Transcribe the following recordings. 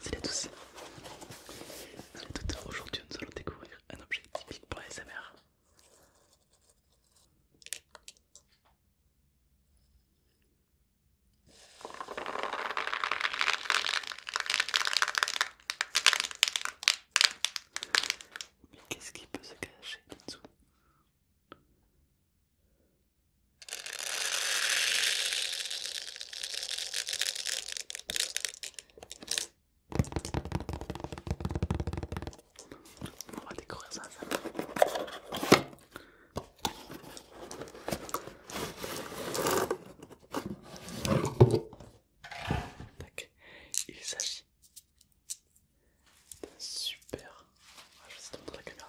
Salut à tous, aujourd'hui nous allons découvrir un objet typique pour les SMR mais qu'est-ce qui peut se cacher dessous on va ça Il s'agit d'un super. Ah, je la caméra.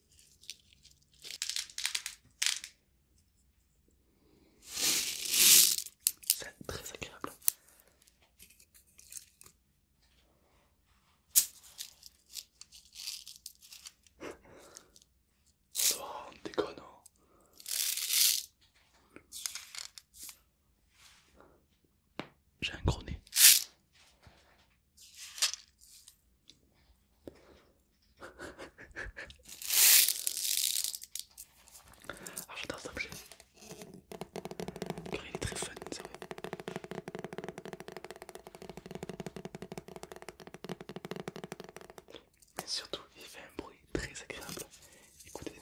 C'est très agréable. Ça déconne. Hein. J'ai un gros nez. Alors ah, j'adore cet objet il est très fun, sérieux. surtout, il fait un bruit très agréable. Écoutez.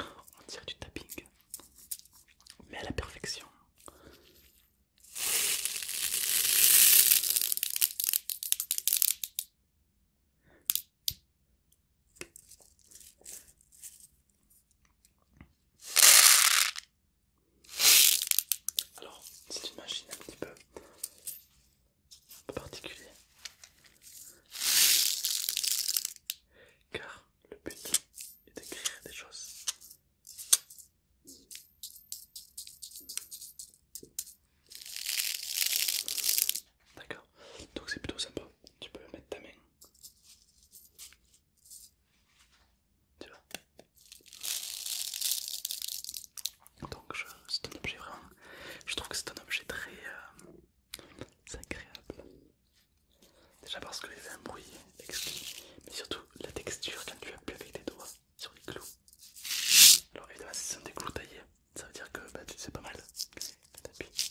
On tire du tapping, mais à la perfection. Alors, c'est une machine un petit peu un particulier car le but est d'écrire des choses d'accord donc c'est plutôt sympa tu peux mettre ta main tu vois donc c'est un objet vraiment... Je trouve que c'est un objet très euh, agréable. Déjà parce qu'il avait un bruit mais surtout la texture quand tu appuies avec tes doigts sur les clous. Alors évidemment si sont des clous taillés, ça veut dire que bah, c'est pas mal. T'appuies.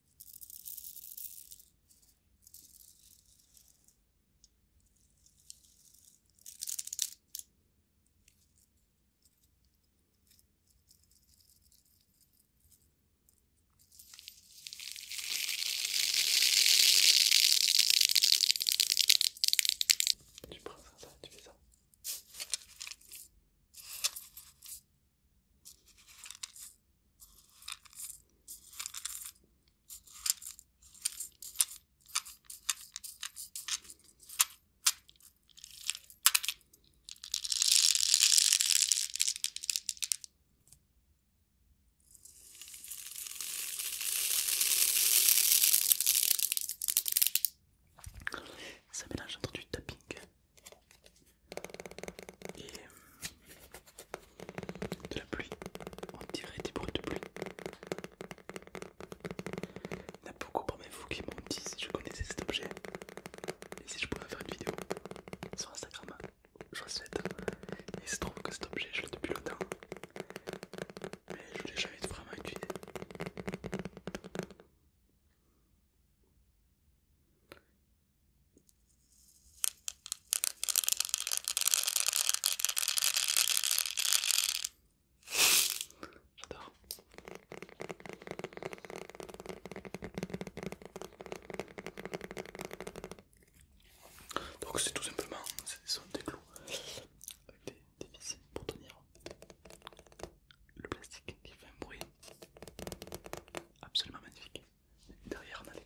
Tu prends ça, tu fais ça. Ça mélange entre du tapping et euh, de la pluie. On dirait des bruits de pluie. Il y en a beaucoup parmi vous qui m'ont dit si je connaissais cet objet et si je pouvais faire une vidéo sur Instagram. Je le souhaite. Et il se trouve que cet objet, je l'ai depuis longtemps. Mais je l'ai jamais vraiment utilisé. J'adore. Donc c'est tout simplement, des clous avec des vis pour tenir le plastique qui fait un bruit absolument magnifique derrière on a les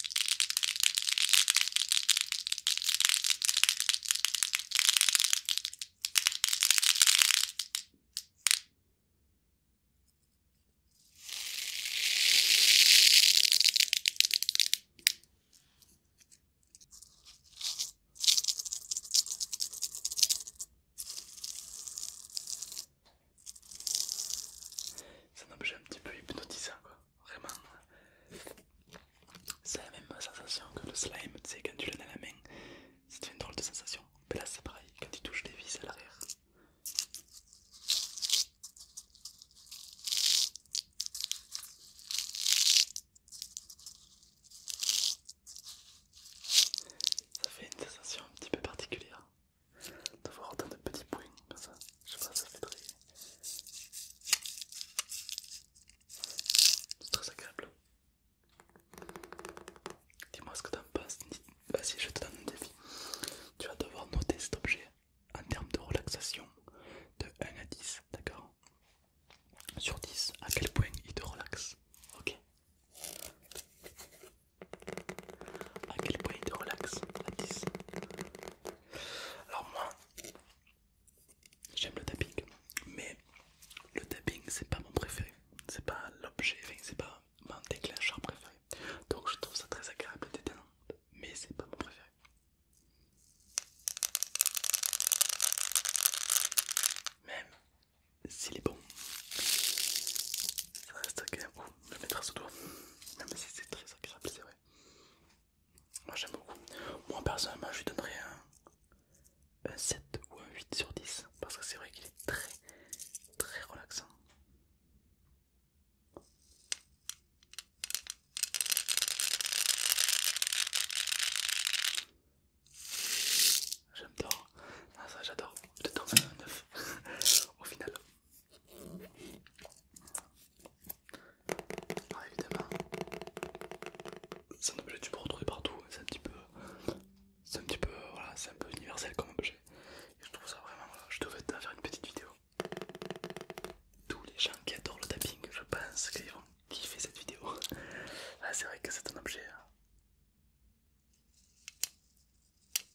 C'est un objet un petit peu hypnotisant quoi. Vraiment, c'est la même sensation que le slime, quand tu l'as dans la main, c'est une drôle de sensation. Mais là, c'est pareil, quand tu touches des vis à l'arrière. Ça fait une sensation un petit peu particulière d'avoir autant de petits points comme ça. Je sais pas, ça fait très c'est très agréable. Dis-moi ce que t'en penses. Vas-y, je te donne un défi. Tu vas devoir noter cet objet en termes de relaxation de 1 à 10, d'accord Sur 10, à quel point il te relaxe Ok À quel point il te relaxe 10 alors moi, j'aime le tapping, mais le tapping c'est pas mon préféré, c'est pas l'objet, c'est pas mon déclencheur préféré. Donc je trouve ça très agréable et mais c'est pas mon préféré. Même s'il est bon, ça reste quand un le mettre sous doigt, même si c'est très agréable, c'est vrai. Moi j'aime beaucoup. Moi personnellement je lui donnerais un, 7 ou un 8 sur 10 parce que c'est vrai qu'il est très très relaxant. j'aime ah, ça j'adore, je donne un 9 au final. Alors évidemment, c'est un objet que tu peux retrouver partout, hein. c'est un petit peu... un petit peu... Voilà, c'est un peu universel comme objet. je trouve ça vraiment... Je devais faire une petite vidéo. Tous les gens qui adorent le tapping, je pense qu'ils vont kiffer cette vidéo. Ah, c'est vrai que c'est un objet... Hein.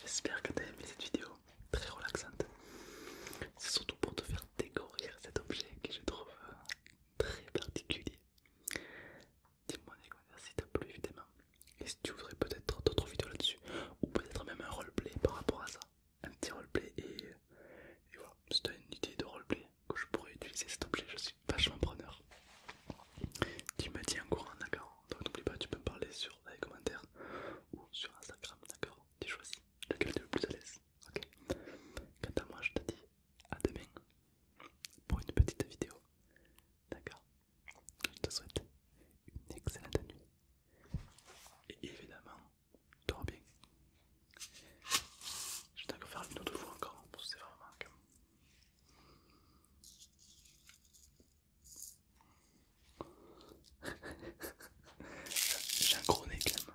J'espère que tu as aimé cette vidéo très relaxante. C'est surtout pour te faire découvrir cet objet que je trouve euh, très particulier. Dis-moi des commentaires si t'as plu évidemment. Et si tu voudrais peut-être d'autres vidéos là-dessus, ou peut-être même un roleplay par rapport à ça, un petit roleplay et, voilà, si une idée de roleplay que je pourrais utiliser cet objet, je suis vachement preneur. Tu me dis en courant, d'accord Donc n'oublie pas, tu peux me parler sur les commentaires ou sur Instagram, d'accord Tu choisis lequel tu le plus à l'aise, ok Quant à moi, je te dis à demain pour une petite vidéo, d'accord Je te souhaite une excellente nuit et évidemment tout va bien. Je vais faire une autre fois encore, c'est vraiment comme... J'ai un gros nez quand même.